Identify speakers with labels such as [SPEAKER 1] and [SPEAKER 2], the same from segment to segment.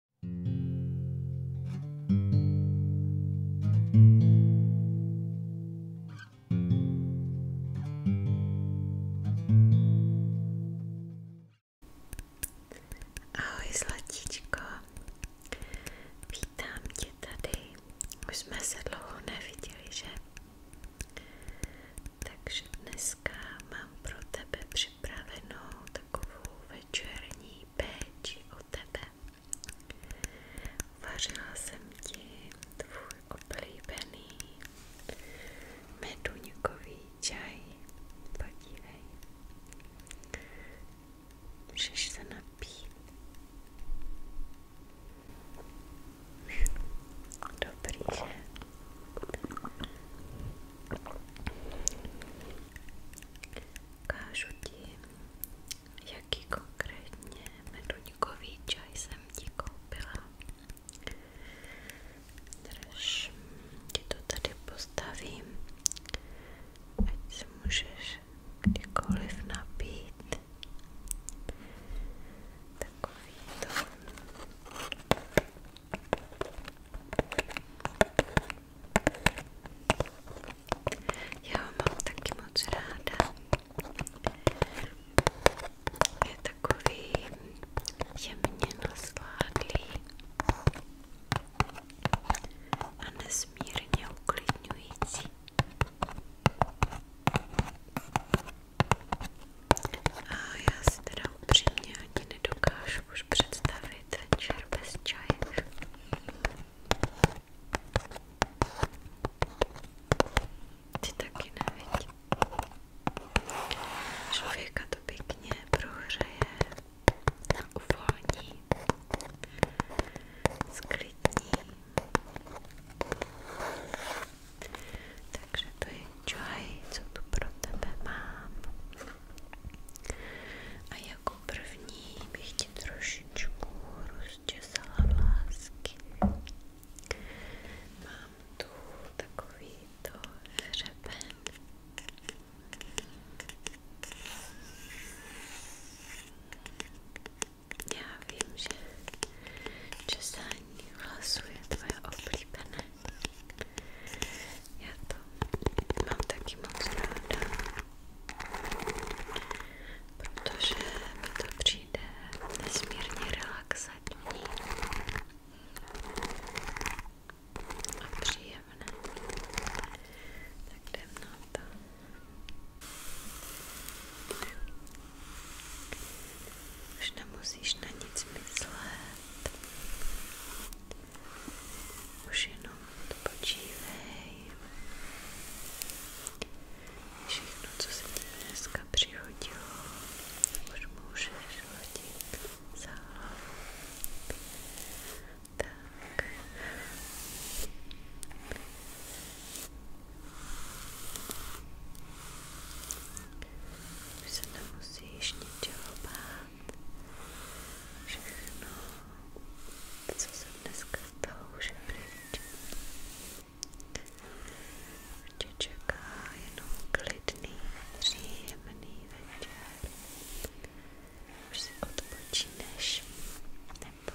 [SPEAKER 1] Ahoj zlatíčko, vítám tě tady. Už jsme se dlouho neviděli, že? Takže dneska mám pro tebe připravenou takovou večerní mojí péči o tebe. Vařila jsem ti tvůj oblíbený meduňkový čaj. Podívej. Můžeš se napít. Dobrý, že? Ukážu ti, jaký konkrétně meduňkový čaj jsem ti koupila. Drž, ti to tady postavím, ať si můžeš kdykoliv napít. Takový to. Já ho mám taky moc ráda. Je takový jemně nasládlý a nesmírně uklidňující. A já si teda upřímně ani nedokážu už představit večer bez čaje. Ty taky nevidí. Člověka to pěkně prohřeje, uvolní, sklidní. Takže to je čaj, co tu pro tebe mám. A jako první bych ti trošičku rozčesala vlásky. Mám tu takovýto hřeben. Já vím, že česání vlasů je tvoje oblíbené. Já to mám taky moc ráda, protože mi to přijde nesmírně relaxatní a příjemné. Tak jdem na to. Už nemusíš na nic myslet let. Už jenom odpočívej. Všechno, co se ti dneska přihodilo, už můžeš hodit za hlavu. Tak. Už se nemusíš ničeho bát všechno, co se dneska stalo, už je pryč. Tě čeká jenom klidný, příjemný večer. Už si odpočíneš, nebo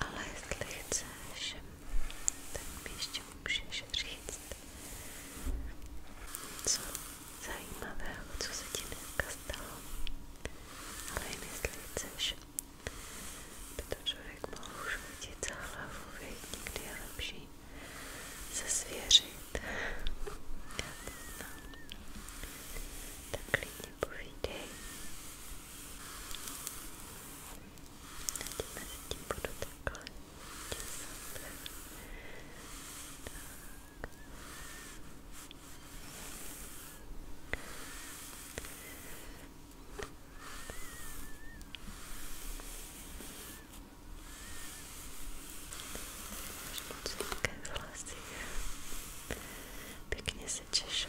[SPEAKER 1] ale jestli chceš tak mi ještě můžeš říct co zajímavého, co se ti dneska stalo, ale jestli chceš, by to člověk mohl už hodit za hlavu, věď, někdy je lepší se svěřit. No. Tak klidně povídej teď mezi tím budu takhle těsat. Tak. Možná vlasy. Pěkně se češu.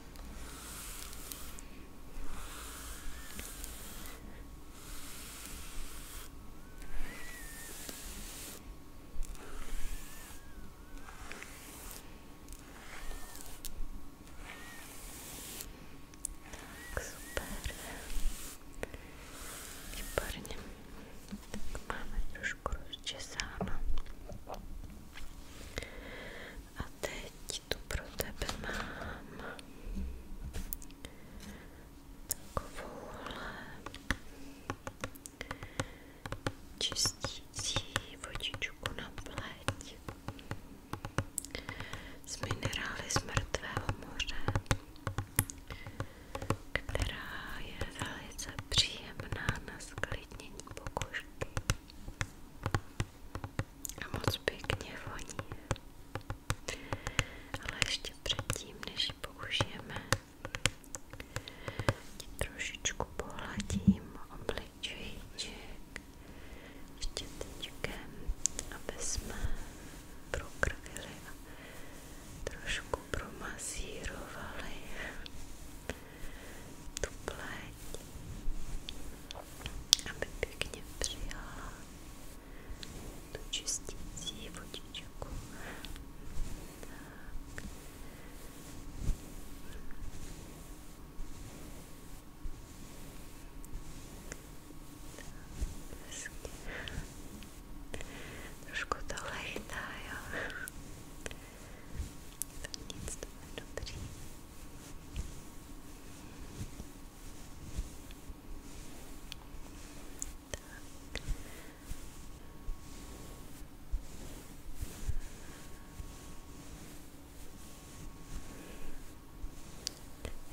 [SPEAKER 1] Так, супер. И парни. Так, мама, дружку расчесала. A teď tu pro tebe mám takovouhle čistící vodičku na pleť z minerály z mrtvého moře, která je velice příjemná na sklidnění pokožky a moc pěkně voní. Ale ještě předtím, než ji použijeme, trošičku pohladím obličejček ještě tyčkem, aby jsme prokrvili a trošku promasírovali tu pleť aby pěkně přijala tu čistící vodičku. Tak. Tak, Trošku to lechtá, jo. To nic, to je dobrý. Tak.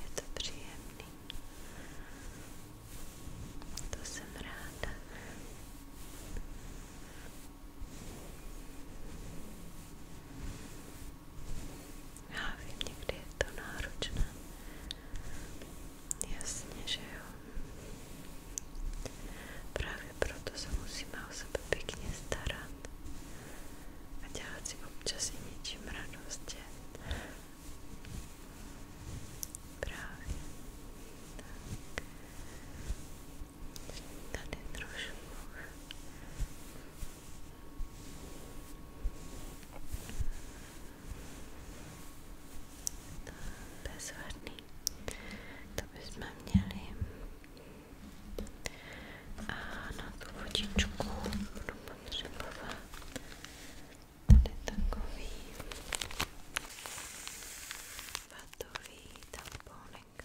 [SPEAKER 1] Je to příjemný. To jsem ráda. Já vím, někdy je to náročné. Jasně, že jo. Právě proto se musíme o sebe pěkně starat a dělat si občas i něčím radost. Právě. Tak. Tady trošku bezvadný, to bychom měli a na tu vodičku budu potřebovat tady takový vatový tamponek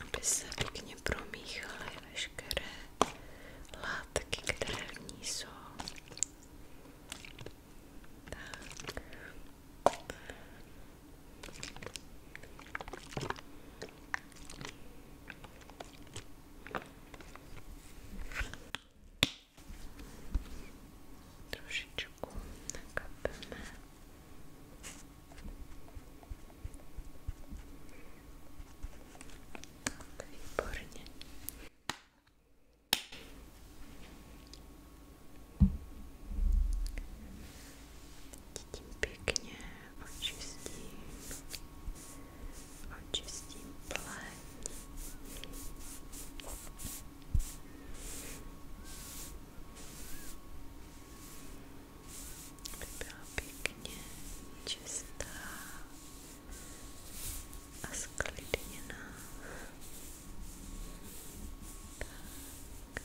[SPEAKER 1] aby se pěkně promíchaly veškeré látky, které v ní jsou. Tak. Trošičku nakapeme. Tak, výborně. Teď tím pěkně očistím, očistím pleť aby byla pěkně čistá a sklidněná. Tak. Tak.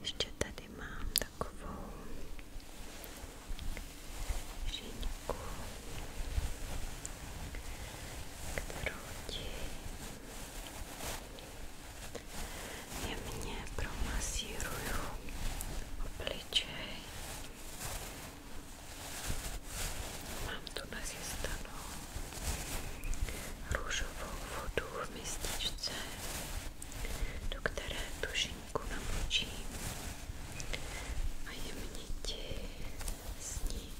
[SPEAKER 1] Ještě tady mám takovou žínku, kterou ti jemně promasíruju obličej. Mám tu nachystanou růžovou vodu v mističce, do které tušinku namočím a jemně s ní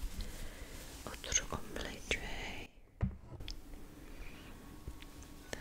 [SPEAKER 1] otřu obličej. Tak.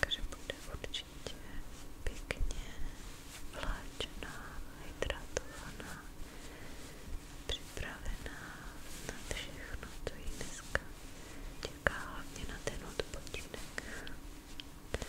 [SPEAKER 1] takže bude určitě pěkně vláčená, hydratovaná, připravená na všechno, co ji dneska čeká, hlavně na ten odpočinek. Tak.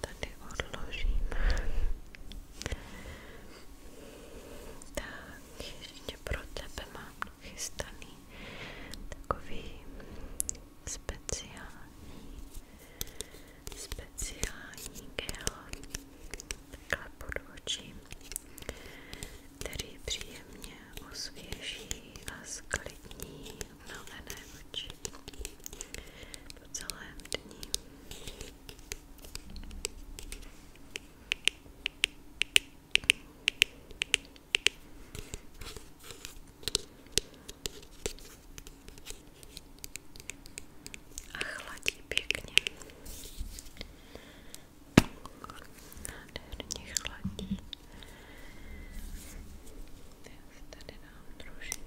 [SPEAKER 1] tady odložím. Tak, ještě pro tebe mám chystaný takový speciální, speciální gel, takhle pod oči, který příjemně osvěží a sklidní omalené no, oči po celém dní. A chladí pěkně. Nádherně chladí. Já si tady dám trošku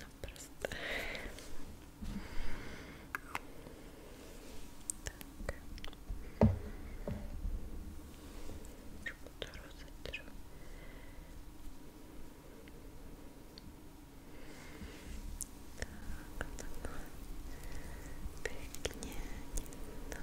[SPEAKER 1] na prst. Tak. Trošku to rozetřu. Tak, takhle. Pěkně. To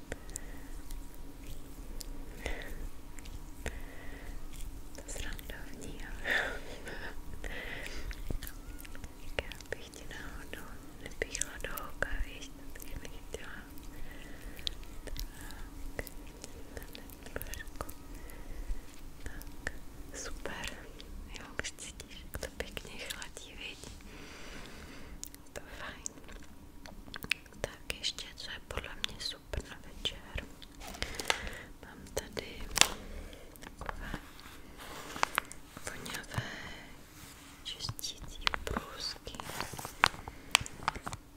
[SPEAKER 1] To srandovní, ale já bych ti náhodou nepíchla do oka, víš, to taky nechtěla. Tak, trošku. Tak, super. Jo, už cítíš, jak to pěkně chladí, vidí. To fajn. Tak ještě, co je podle mě super na večer. Mám tady takové voňavé čistící brusky,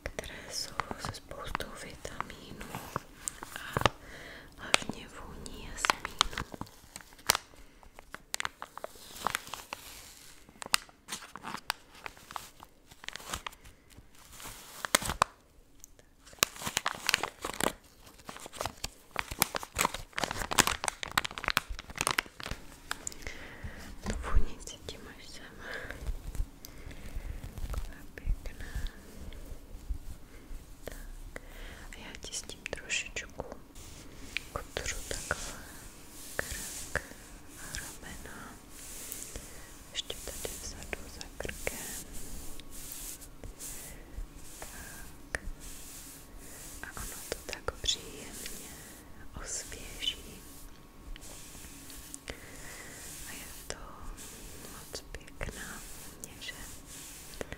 [SPEAKER 1] které jsou se spoustou vitamínů a hlavně vůní jasmínu. To vůnici tím až sama. Taková pěkná. Tak. A já ti s tím trošičku kutru takhle krk a ramena ještě tady vzadu za krkem. Tak. A ono to tak příjemně osvěží. A je to moc pěkná měže. Tak.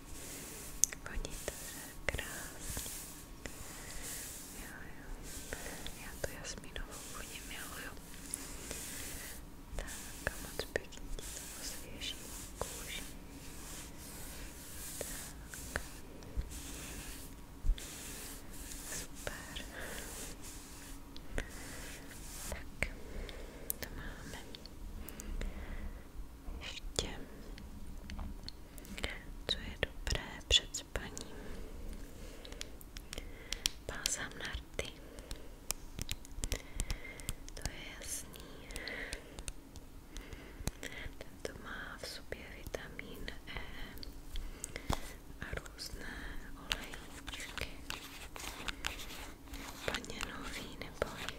[SPEAKER 1] Voní to, že krásně. Jo, jo. Já tu jasmínovou voní miluju. Tak a moc pěkně ti to osvěží kůži. Tak. Super. Tak, to máme ještě co je dobré před spaním bázám na rty to je jasný tento má v sobě vitamin E a různé olejčky úplně nový neboj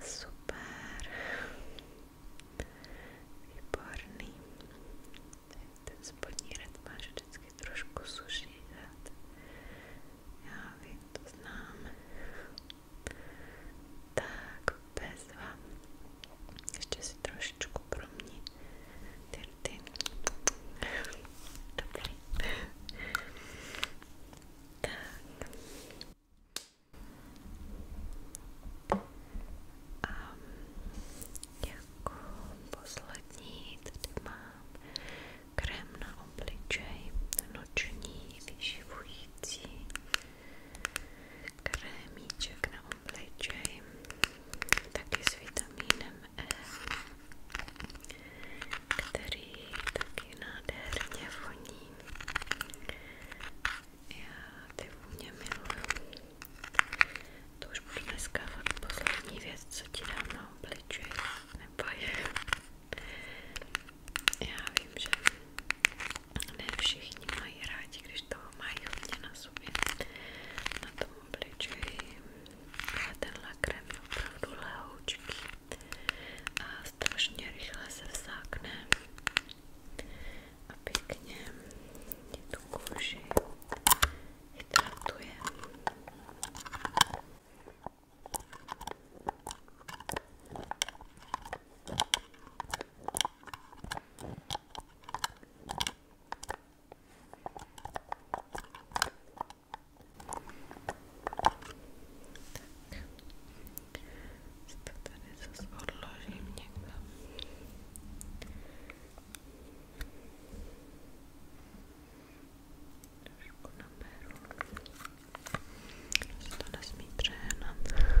[SPEAKER 1] Super. Výborný. Ten spodní red máš vždycky trošku suší red. Já vím, to znám. Tak, bezva. Ještě si dirty. Dobrý. Tak. A jako poslední tady mám krém na obličej noční vyživující krémíček na obličej taky s vitamínem který taky nádherně voní. Já ty vůně miluju. To už budu dneska fakt poslední věc, co ti dám na obličeji, nebo je. Já vím, že ne všichni mají rádi, když toho mají hodně na sobě. Na tom obličeji. A tenhle krém je opravdu lehoučký a strašně rychle se vsákne a pěkně tu kůži hydratuje. Teď tak, to tady zase odložím někam. Trošku naberu. To se to nesmí přehnat. Tak.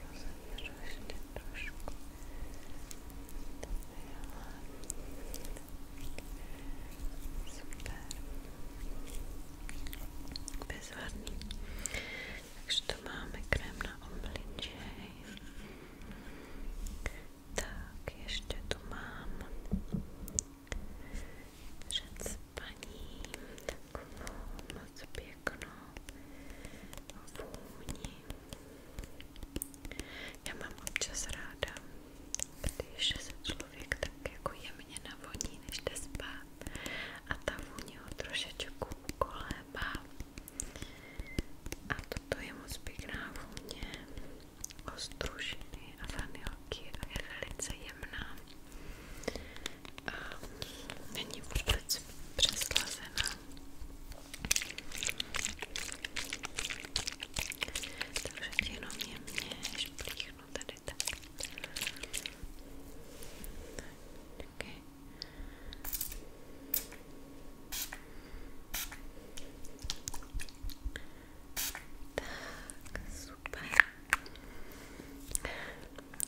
[SPEAKER 1] Troszkę, troszkę Super Bezładnie Także tu krem na omblicie Tak, jeszcze tu před spaním takovou moc pěknou vůni. Já mám občas ráda, když se člověk tak jako jemně navoní, než jde spát a ta vůně ho trošičku kolébá. A toto je moc pěkná vůně ostružiny a vanilky a je velice jemná a není vůbec přeslazená. Takže jenom je mě šplíchnu tady tak. tak okay. Tak, super.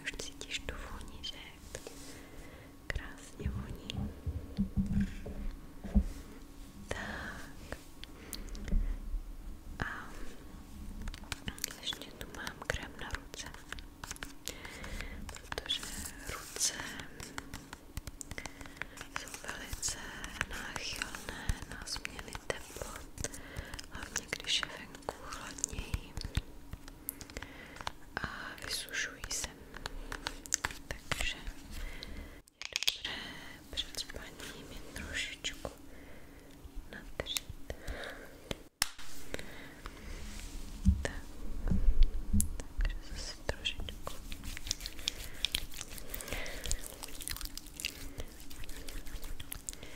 [SPEAKER 1] Už cítíš tu vůni, že? Krásně voní. Tak. A ještě mám krém na ruce. Protože ruce jsou velice náchylné na změny teplot, hlavně když je trošku chladněji a vysušují se. Takže dobře, před spaním je trošičku natřít. Tak, takže zase trošičku.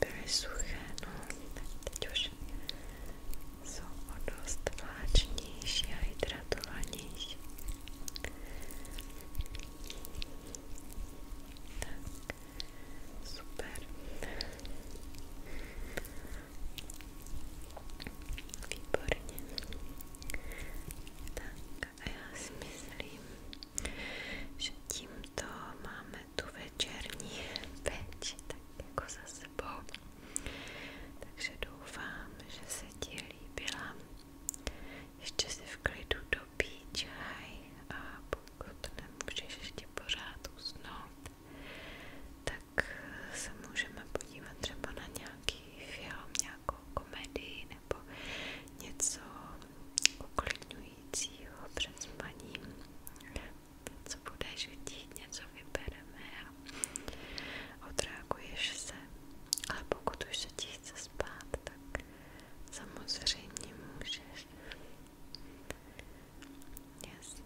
[SPEAKER 1] byly suché, no, tak teď už jsou o dost vláčnější a hydratovanější. Tak, super. Výborně. Tak a já si myslím, že tímto máme tu večerní peč tak jako za sebou. Takže doufám, že se ti líbila. Ještě si v klidu dopí čaj a pokud nemůžeš ještě pořád usnout, tak tak se můžeme podívat třeba na nějaký film, nějakou komedii nebo něco uklidňujícího před spaním. Co budeš chtít, něco vybereme a odreaguješ se. Ale pokud už se ti chce spát, tak samozřejmě můžeš. Jasný.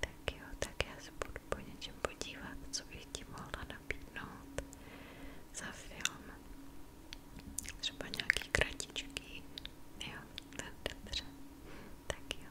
[SPEAKER 1] Tak jo, tak já se budu po něčem podívat, co bych ti mohla nabídnout za film. Třeba nějaký kratičky. Jo, tak dobře. Tak jo.